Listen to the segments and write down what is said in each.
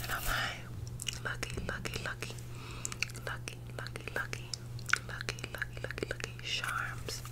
And i lucky, lucky, lucky, lucky, lucky, lucky, lucky, lucky, lucky, charms.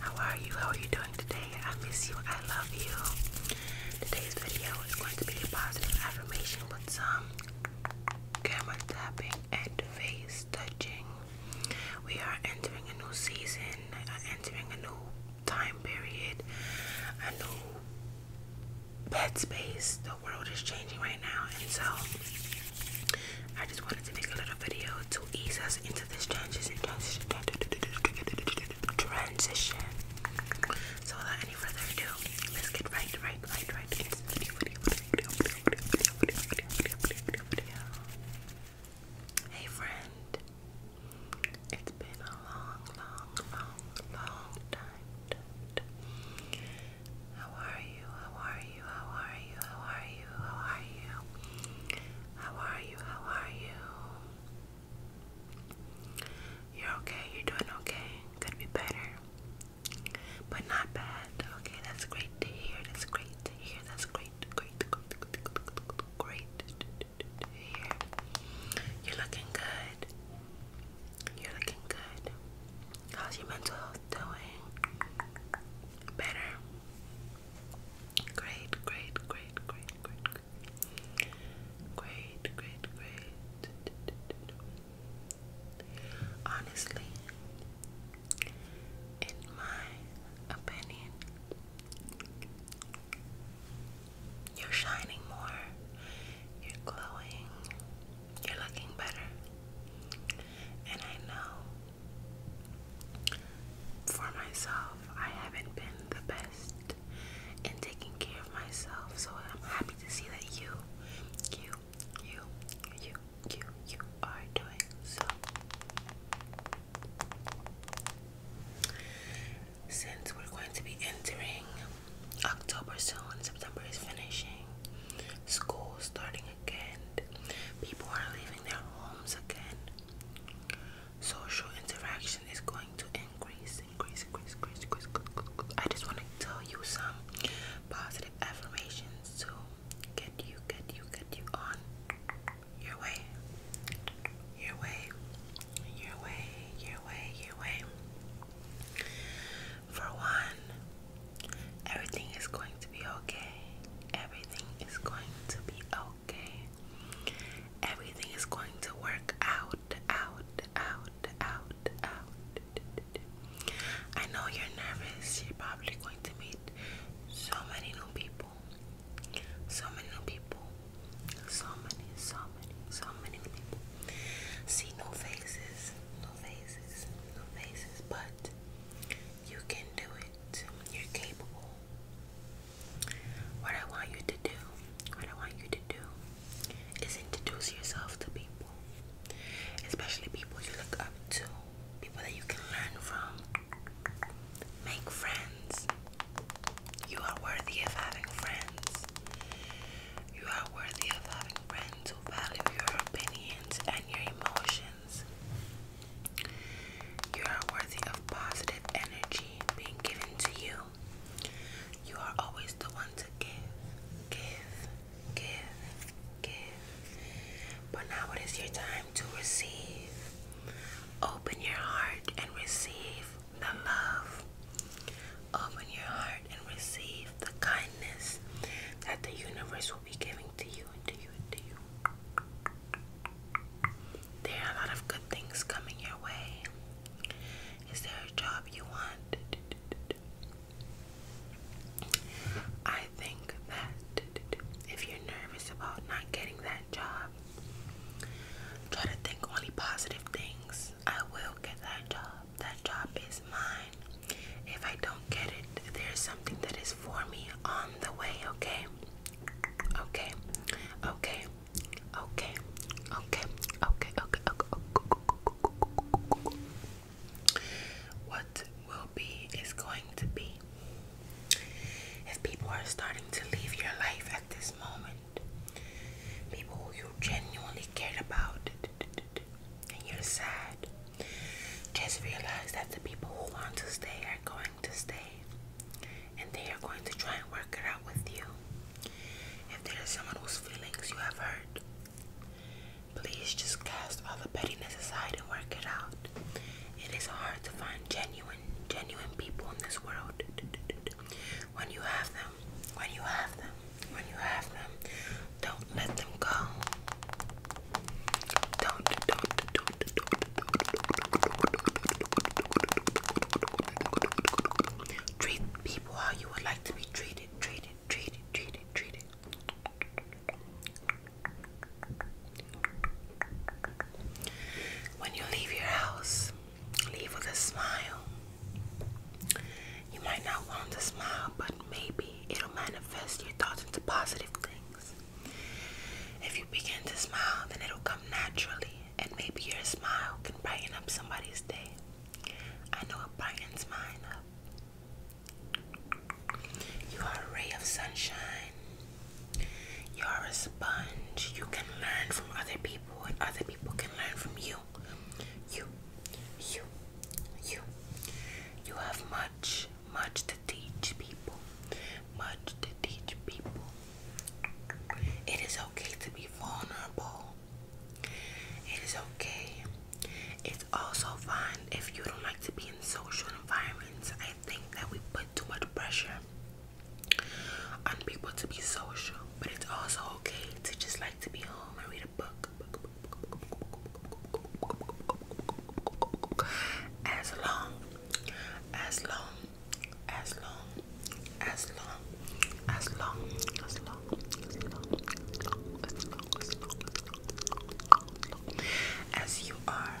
How are you? How are you doing today? I miss you. I love you. Today's video is going to be a positive affirmation with some camera tapping and face touching we are entering a new season, entering a new time period, a new bed space. The world is changing right now, and so I just wanted to make a little video to ease us into this changes and transition. Transition. So, without any further ado, let's get right, right, right, right Hey friend, it's been a long, long, long, long time. How are you? How are you? How are you? How are you? How are you? How are you? How are you? You're okay. You're doing okay. Could be better but not bad. Okay, that's great to hear. That's great to hear. That's great, great, great, great, great, great You're looking good. You're looking good. How's your mental health doing? Better. Great, great, great, great, great, great. Great, great, great. Honestly, in my opinion. You're shining more, you're glowing, you're looking better. And I know for myself, I haven't been the best in taking care of myself, so I'm happy to see that you, you, you, you, you you are doing so since we're going to be entering October soon, September is finishing, school starting again, people are leaving their homes again. Social interaction is going to increase, increase, increase, increase, increase. I just want to tell you some positive affirmations too get you, get you, get you on your way, your way, your way, your way, your way. For one, everything is going to be okay. Everything is going to be okay. Everything is going to work out, out, out, out, out. I know you're nervous. You're probably going to meet so many new people, so many new people, so many, so many, so many people. See no faces, no faces, no faces, but you can do it. You're capable. What I want you to do, what I want you to do, is introduce yourself to people, especially people you look up to people that you can learn from. Make friends. You are worthy of having friends. You are worthy of having friends who value your opinions and your emotions. You are worthy of positive energy being given to you. You are always the one to give, give, give, but now it is your time to receive. Open your heart and receive the love. Open your heart and receive the kindness that the universe will be giving to you and to you and to you. There are a lot of good things coming your way. Is there a job you want? I think that if you're nervous about not getting that job, try to think only positive things. I will get that job. That job is mine. If I don't get it, there's something that is for me on the way, okay? Okay, okay, okay, okay, okay, okay, okay. What will be is going to be. If people are starting to leave your life at this moment, people who you genuinely cared about, and you're sad, just realize that the people who want to stay are going to stay, and they are going to try and work it out with you. If there is someone whose feelings you have hurt, please just cast all the pettiness aside work it out. It is hard to find genuine, genuine people in this world. When you have them, when you have them, when you have them, don't let them go. Don't, don't, don't, don't, don't. Treat people how you would like to be treated, treated, treated, treated, treated. When you leave your house, leave with a smile. You might not want to smile, but maybe it'll manifest your thoughts into positive things. If you begin to smile, then it'll come naturally, and maybe your smile can brighten up somebody's day. I know it brightens mine up. You are a ray of sunshine. You are a sponge. You can learn from other people, and other people can learn from you. You, you, you. You have much, much to teach people. Much to teach people. It is okay to be vulnerable. It is okay. It's also fine if you don't like to be in social environments. I think that we put too much pressure on people to be social, but it's also okay to just like to be home and read a book. As long, as long, as long, as long, as long, as long, as long, as long, as long, as you are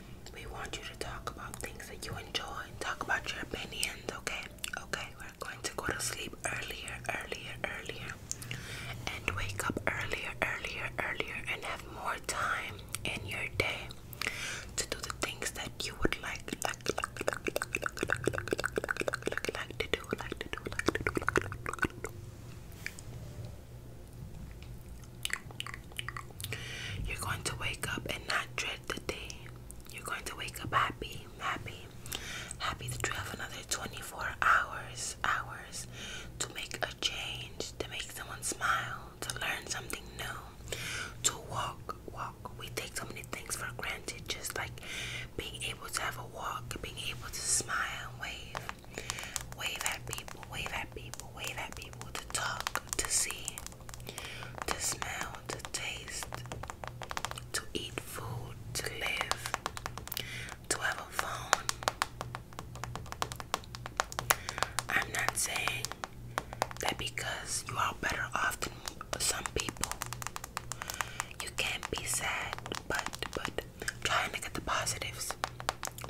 we want you to talk about things that you enjoy. Talk about your opinions, okay? Okay, we're going to go to sleep earlier, earlier, earlier, and wake up earlier, earlier, earlier, and have more time in your day to do the things that you would like, like, like, like, like, like, like, like, like, like to do, like to do, like to do, like to do, like to do. You're going to wake up and not dread the day. You're going to wake up happy, happy, happy that you have another 24 hours, hours to make a change, to make someone smile, to learn something new, to walk, walk. We take so many things for granted, just like being able to have a walk, being able to smile, and wave, wave at people, wave at people, wave at people, to talk, to see to smell, to taste, to eat food, to live, to have a phone. I'm not saying that because you are better off than some people, you can't be sad, but but trying to get the positives,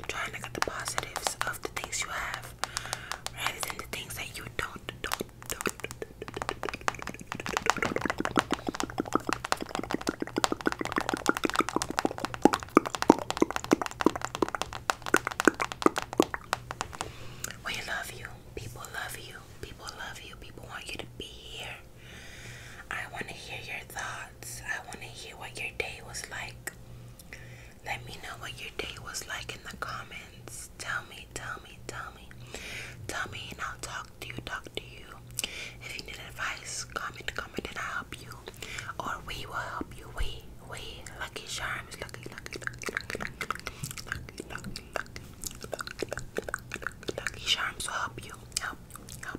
trying to get the positives of the things you have rather than the things that you don't don't we love you. People love you. People love you. People want you to be here. I want to hear your thoughts. I want to hear what your day was like. Let me know what your day was like in the comments. Tell me, tell me, tell me. Tell me and I'll talk to you, talk to you. If you need advice, comment, comment and I'll help you. Or we will help you. We, we, Lucky Charms, Lucky, Lucky, Lucky, Lucky, Lucky, Lucky, Lucky, Lucky, Lucky, Lucky Charms will help you. Help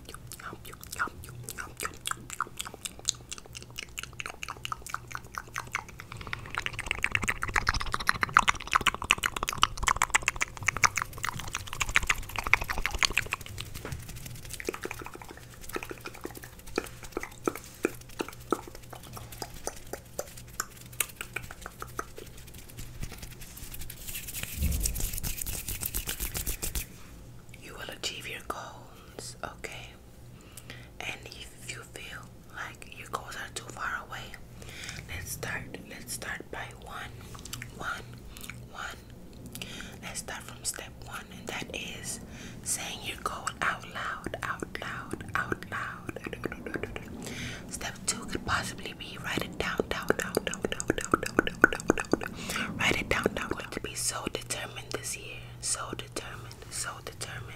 you, help you, help you, help you, help you. You will achieve your goals, okay? and if you feel like your goals are too far away, let's start. Let's start by one, one, one. Let's start from step one, and that is saying your goal out loud, out loud, out loud. Step two could possibly be write it down, down, down, down, down, down, down, down, down, down. Write it down, down. Going to be so determined this year, so determined, so determined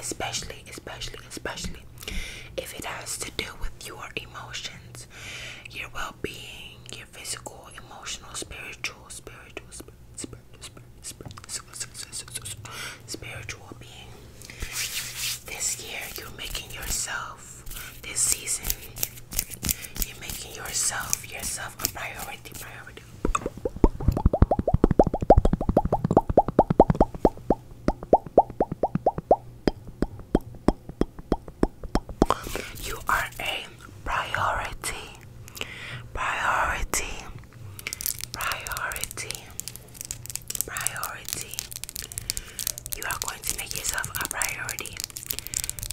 especially, especially, especially if it has to do with your emotions, your well being, your physical, emotional, spiritual, spiritual, spiritual, spiritual, spiritual being. This year, you're making yourself, this season, you're making yourself, yourself a priority, priority, you are a priority, priority, priority, priority. You are going to make yourself a priority,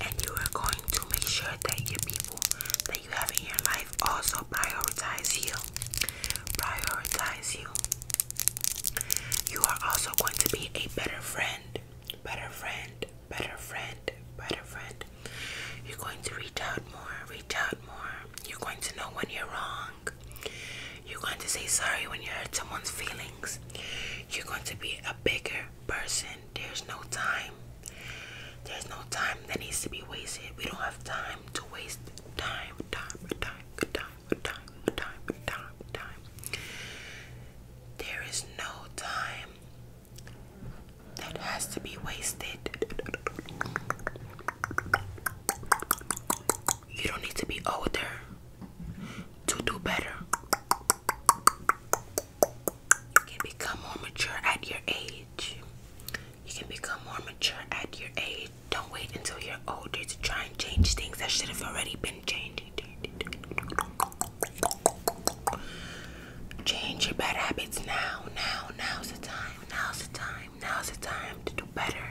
and you are going to make sure that your people that you have in your life also prioritize you. Prioritize you. You are also going to be a better friend. Better friend. Better friend. Better friend. You're going to reach out more. Reach out more. You're going to know when you're wrong. You're going to say sorry when you hurt someone's feelings. You're going to be a bigger person. There's no time. There's no time that needs to be wasted. We don't have time to waste time, time, time, time, time, time, time, time. There is no time that has to be wasted. You don't need to be older to do better. You can become more mature at your age. You can become more mature at your age. Don't wait until you're older to try and change things that should have already been changed. Change your bad habits now, now, now's the time, now's the time, now's the time to do better.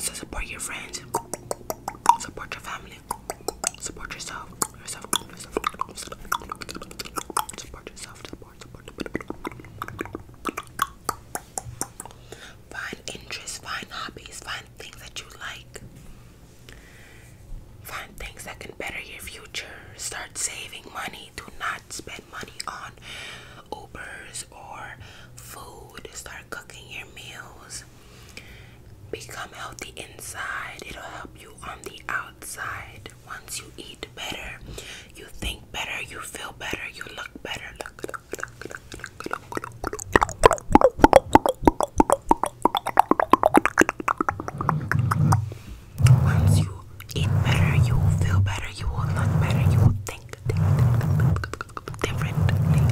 So support your friends, support your family, support yourself, yourself, yourself, support yourself. Support yourself. Find interests, find hobbies, find things that you like. Find things that can better your future. Start saving money. Do not spend money on Ubers or food. Start cooking your meals. Become healthy inside. It'll help you on the outside. Once you eat better, you think better, you feel better, you look better. Once you eat better, you feel better, you look better, you think differently.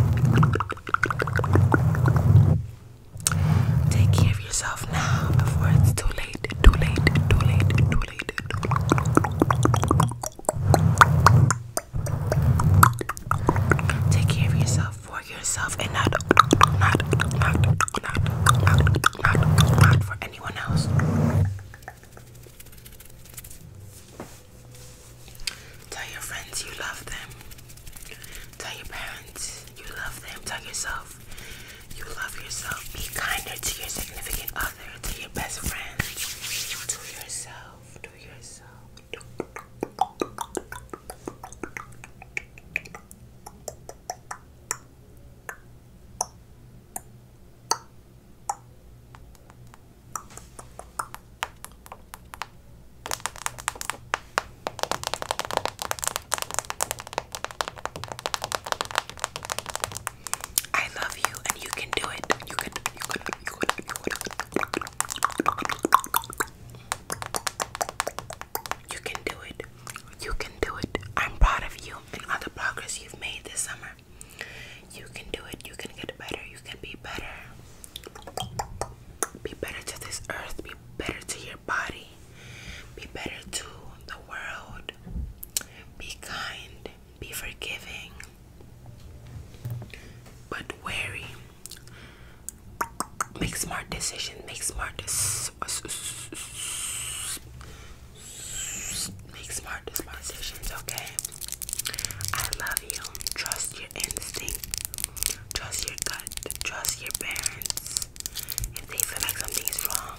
Take care of yourself now before it's too late too late, too late, too late, too late. Take care of yourself for yourself and not not not not not not, not for anyone else. Tell your friends you love them. Tell your parents you love them. Tell yourself you love yourself. Be kinder to your significant other, to your best friend, to yourself, to yourself. I love you and you can do it. You can you can you can, you can. You can do it. You can do it. I'm proud of you and all the progress you've made this summer. You can do it. You can get better. You can be better. Be better to this earth. Be better to your body. Be better to the world be kind, be forgiving, but wary. Make smart decisions, make smart make smart decisions, okay? I love you. Trust your instinct. Trust your gut. Trust your parents. If they feel like something is wrong,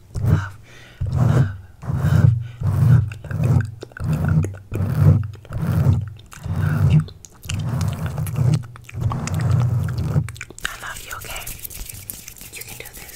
love, love, love, love, love, love, love, love you. I love you, okay? You can do this.